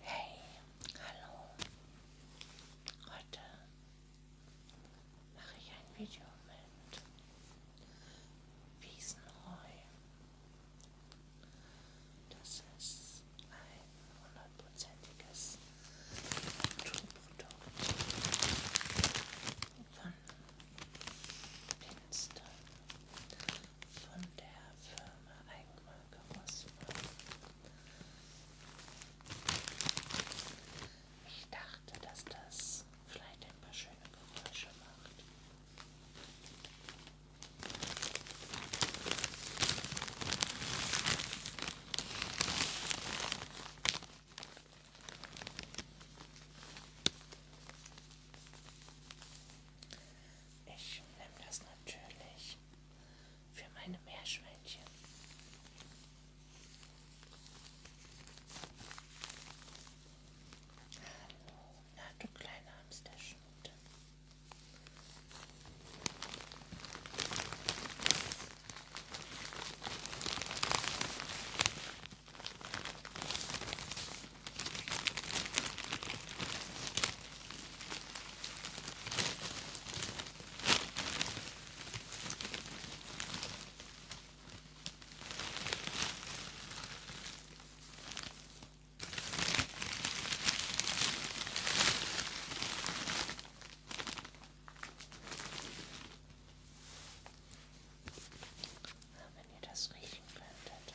Hey, hallo. Heute mache ich ein Video mit Wiesenreu. Das ist ein hundertprozentiges Naturprodukt von Pinster von der Firma Eigenmarke Rossmann. Ich dachte, dass das vielleicht ein paar schöne Geräusche macht. Ich nehme das natürlich für meine Meerschweinchen. Hallo, na du kleine Hamsterschnute. Wenn ihr das riechen könntet.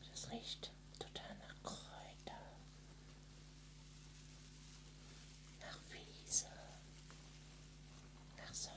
Oh, das riecht total nach Kräuter, nach Wiese, nach Sommer.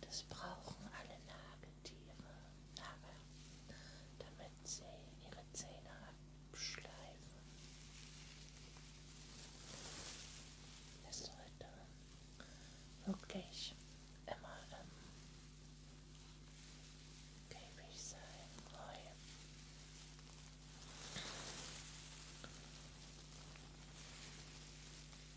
Das brauchen alle Nagetiere, Nagel, damit sie ihre Zähne abschleifen. Es sollte wirklich immer im ähm, Käfig sein. Heu.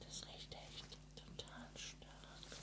Das riecht echt total stark.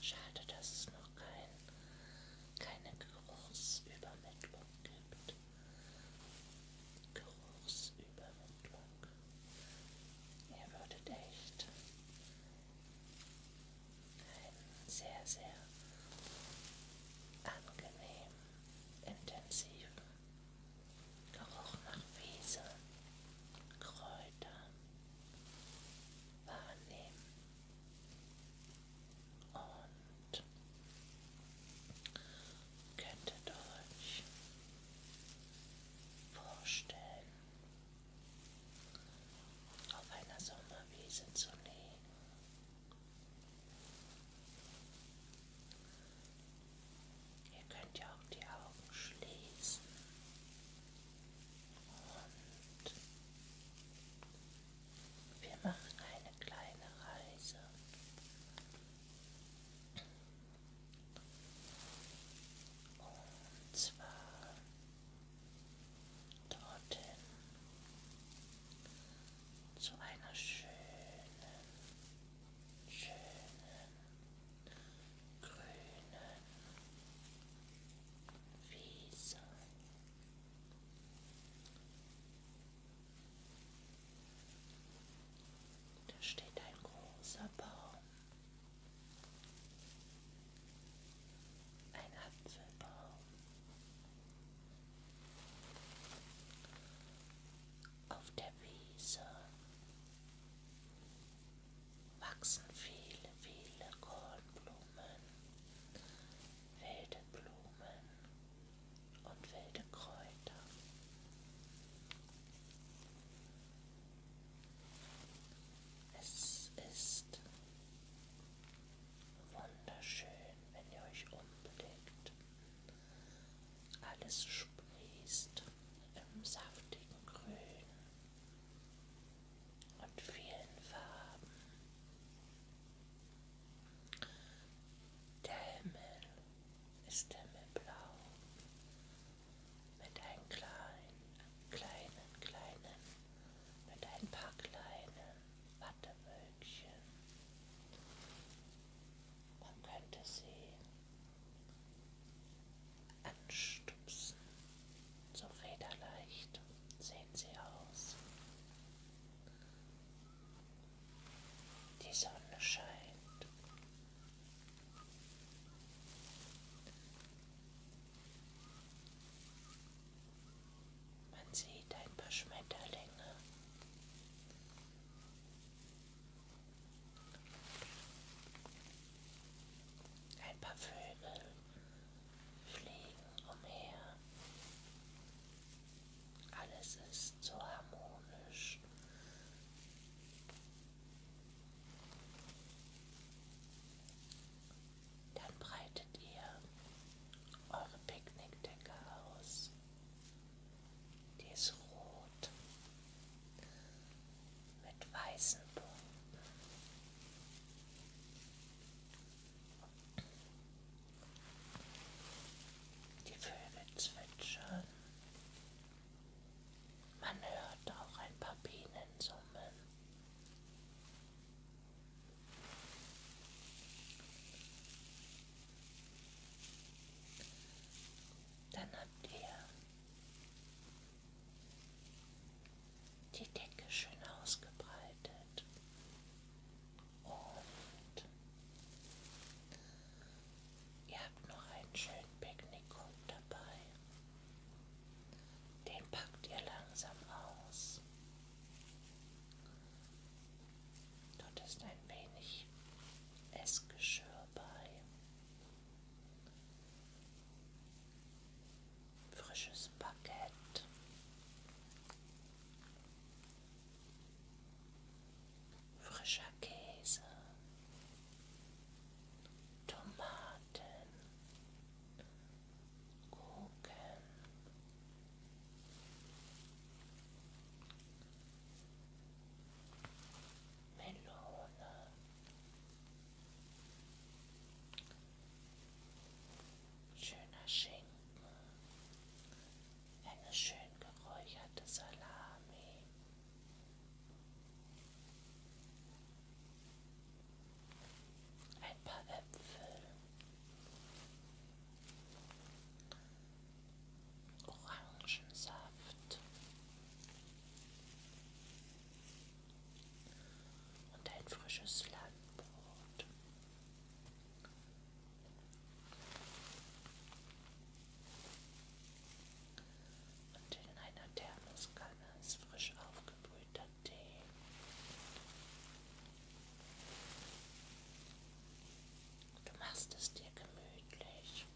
Schade, dass es noch kein, keine Geruchsübermittlung gibt. Geruchsübermittlung. Ihr würdet echt einen sehr, sehr angenehmen, intensiven Geruch nach Wiese, Kräuter wahrnehmen und könntet euch vorstellen, auf einer Sommerwiese zu liegen. Ihr könnt ja auch die Augen schließen und wir machen eine kleine Reise. Und zwar dorthin zu einer schönen, schönen, grünen Wiese. Da steht ein großer Baum ein Apfelbaum. Auf der Wiese wachsen viele, viele Kornblumen, wilde Blumen und wilde Kräuter. Es ist wunderschön, wenn ihr euch umblickt. Alles sprießt im saftigen Grün und vielen Farben. Der Himmel ist himmelblau mit einem kleinen, kleinen, kleinen, mit ein paar kleinen Wattewölkchen. Man könnte sie anstupsen, so federleicht sehen sie aus. Die Sonne scheint. Man sieht ein paar Schmetterlinge. Ein paar Vögel fliegen umher. Alles ist so harmonisch dann breitet ihr eure Picknickdecke aus. Die ist rot mit weißen Punkten. Die Vögel zwitschern. Man hört auch ein paar Bienen summen. Dann habt ihr die Decke schön ausgebreitet und ihr habt noch einen schönen Picknick dabei. Den packt ihr langsam aus. Dort ist ein wenig Essgeschirr bei. Frisches Baguette. Frischer Käse. Tomaten warten, gucken, Melone, schöner Schinken, eine schön geräucherte Salami. Ein paar Äpfel. Orangensaft und ein frisches Landbrot. Und in einer Thermoskanne ist frisch aufgebrühter Tee. Du machst es dir gemütlich.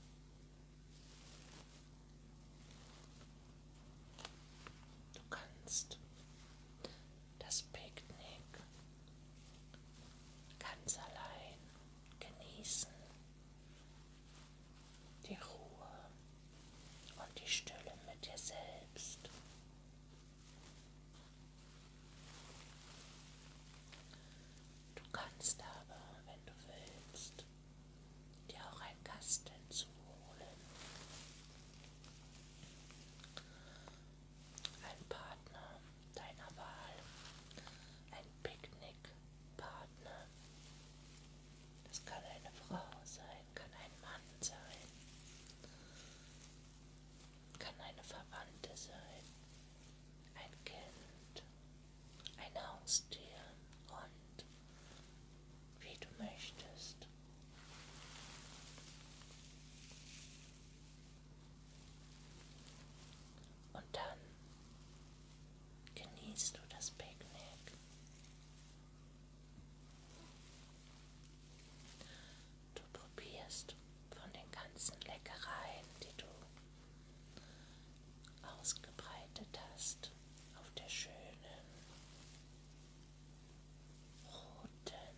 Du kannst das Picknick ganz allein genießen die Ruhe und die Stille mit dir selbst. Du kannst aber, wenn du willst, dir auch einen Gast hinzuholen. Ein Partner deiner Wahl, ein Picknickpartner, das kann eine Frau sein, kann ein Mann sein, kann eine Verwandte sein, ein Kind, ein Haustier und wie du möchtest. Und dann genießt du das Picknick. Du probierst von den ganzen Leckereien, die du ausgebreitet hast, auf der schönen roten,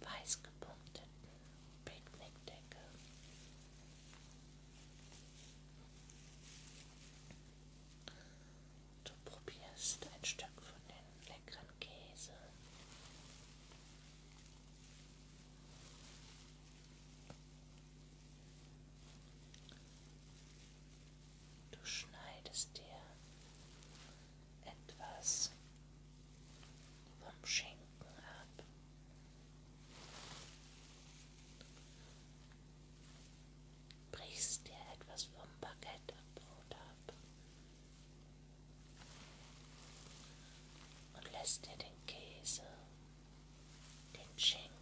weiß gepunkteten Picknickdecke. Du probierst ein Stück von dem leckeren Käse. Du schneidest dir etwas vom Schinken ab Brichst dir etwas vom Baguette Brot ab und lässt dir den Käse, den Schinken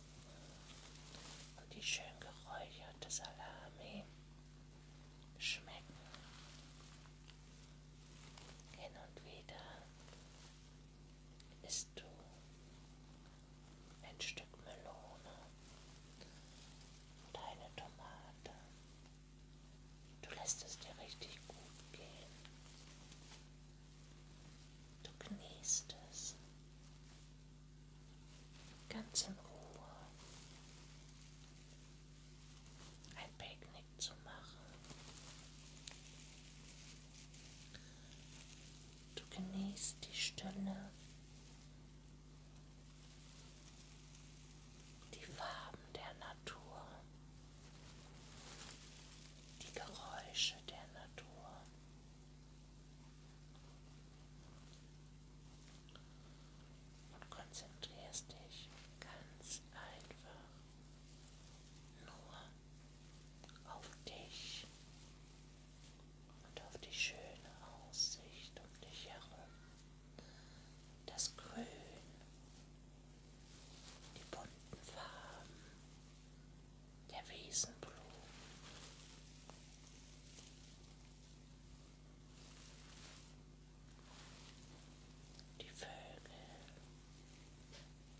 und die schön geräucherte Salami schmecken. Hin und wieder isst du ein Stück Melone und eine Tomate. Du lässt es dir richtig gut gehen. Du genießt es. Ganz in Ruhe. Ein Picknick zu machen. Du genießt die Stille, die Farben der Natur, die Geräusche der Natur. Und konzentrierst dich ganz einfach nur auf dich und auf die schöne Aussicht um dich herum, das Grün, die bunten Farben der Wiesenblumen. Die Vögel,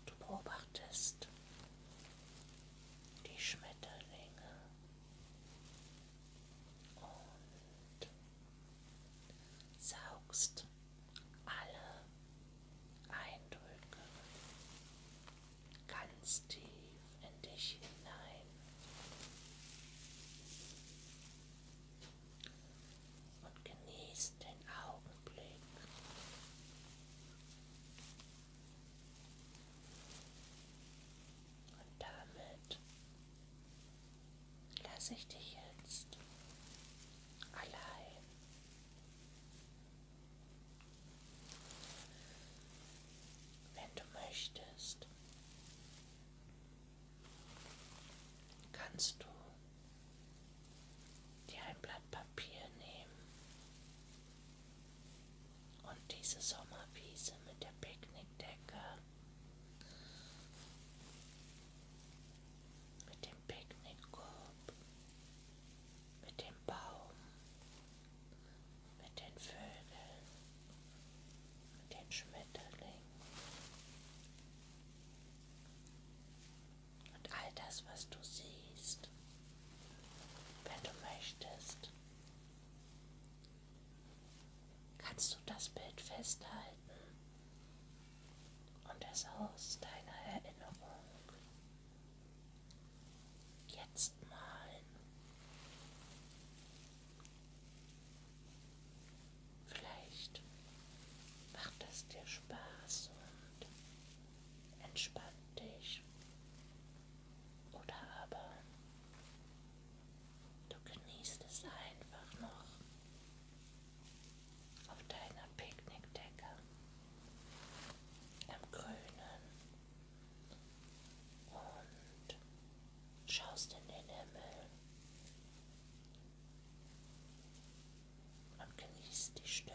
Du beobachtest die Schmetterlinge und saugst alle Eindrücke ganz tief in dich hinein. Und genießt den Augenblick. Und damit lasse ich dich jetzt allein. Wenn du möchtest, kannst du dir ein Blatt Papier nehmen und diese Sommerwiese mit der Picknickdecke, mit dem Picknickkorb, mit dem Baum, mit den Vögeln, mit den Schmetterlingen und all das, was du siehst, wenn du möchtest, kannst du das Bild festhalten und es aus deiner Erinnerung jetzt malen. Vielleicht macht es dir Spaß und entspann dich oder aber du genießt es einfach noch auf deiner Picknickdecke am Grünen und schaust in den Himmel und genießt die Stille.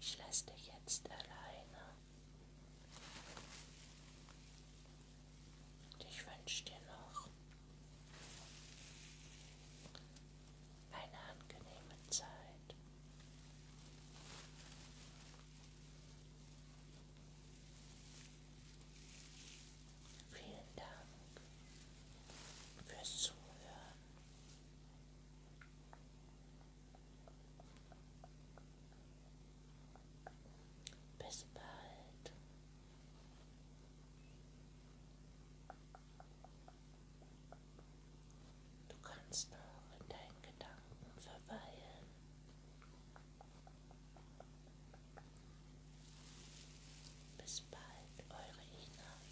Ich lasse dich jetzt alleine. Und ich wünsche dir noch eine angenehme Zeit. Vielen Dank fürs Zuhören. Bis bald. Du kannst auch in deinen Gedanken verweilen. Bis bald, eure Ina.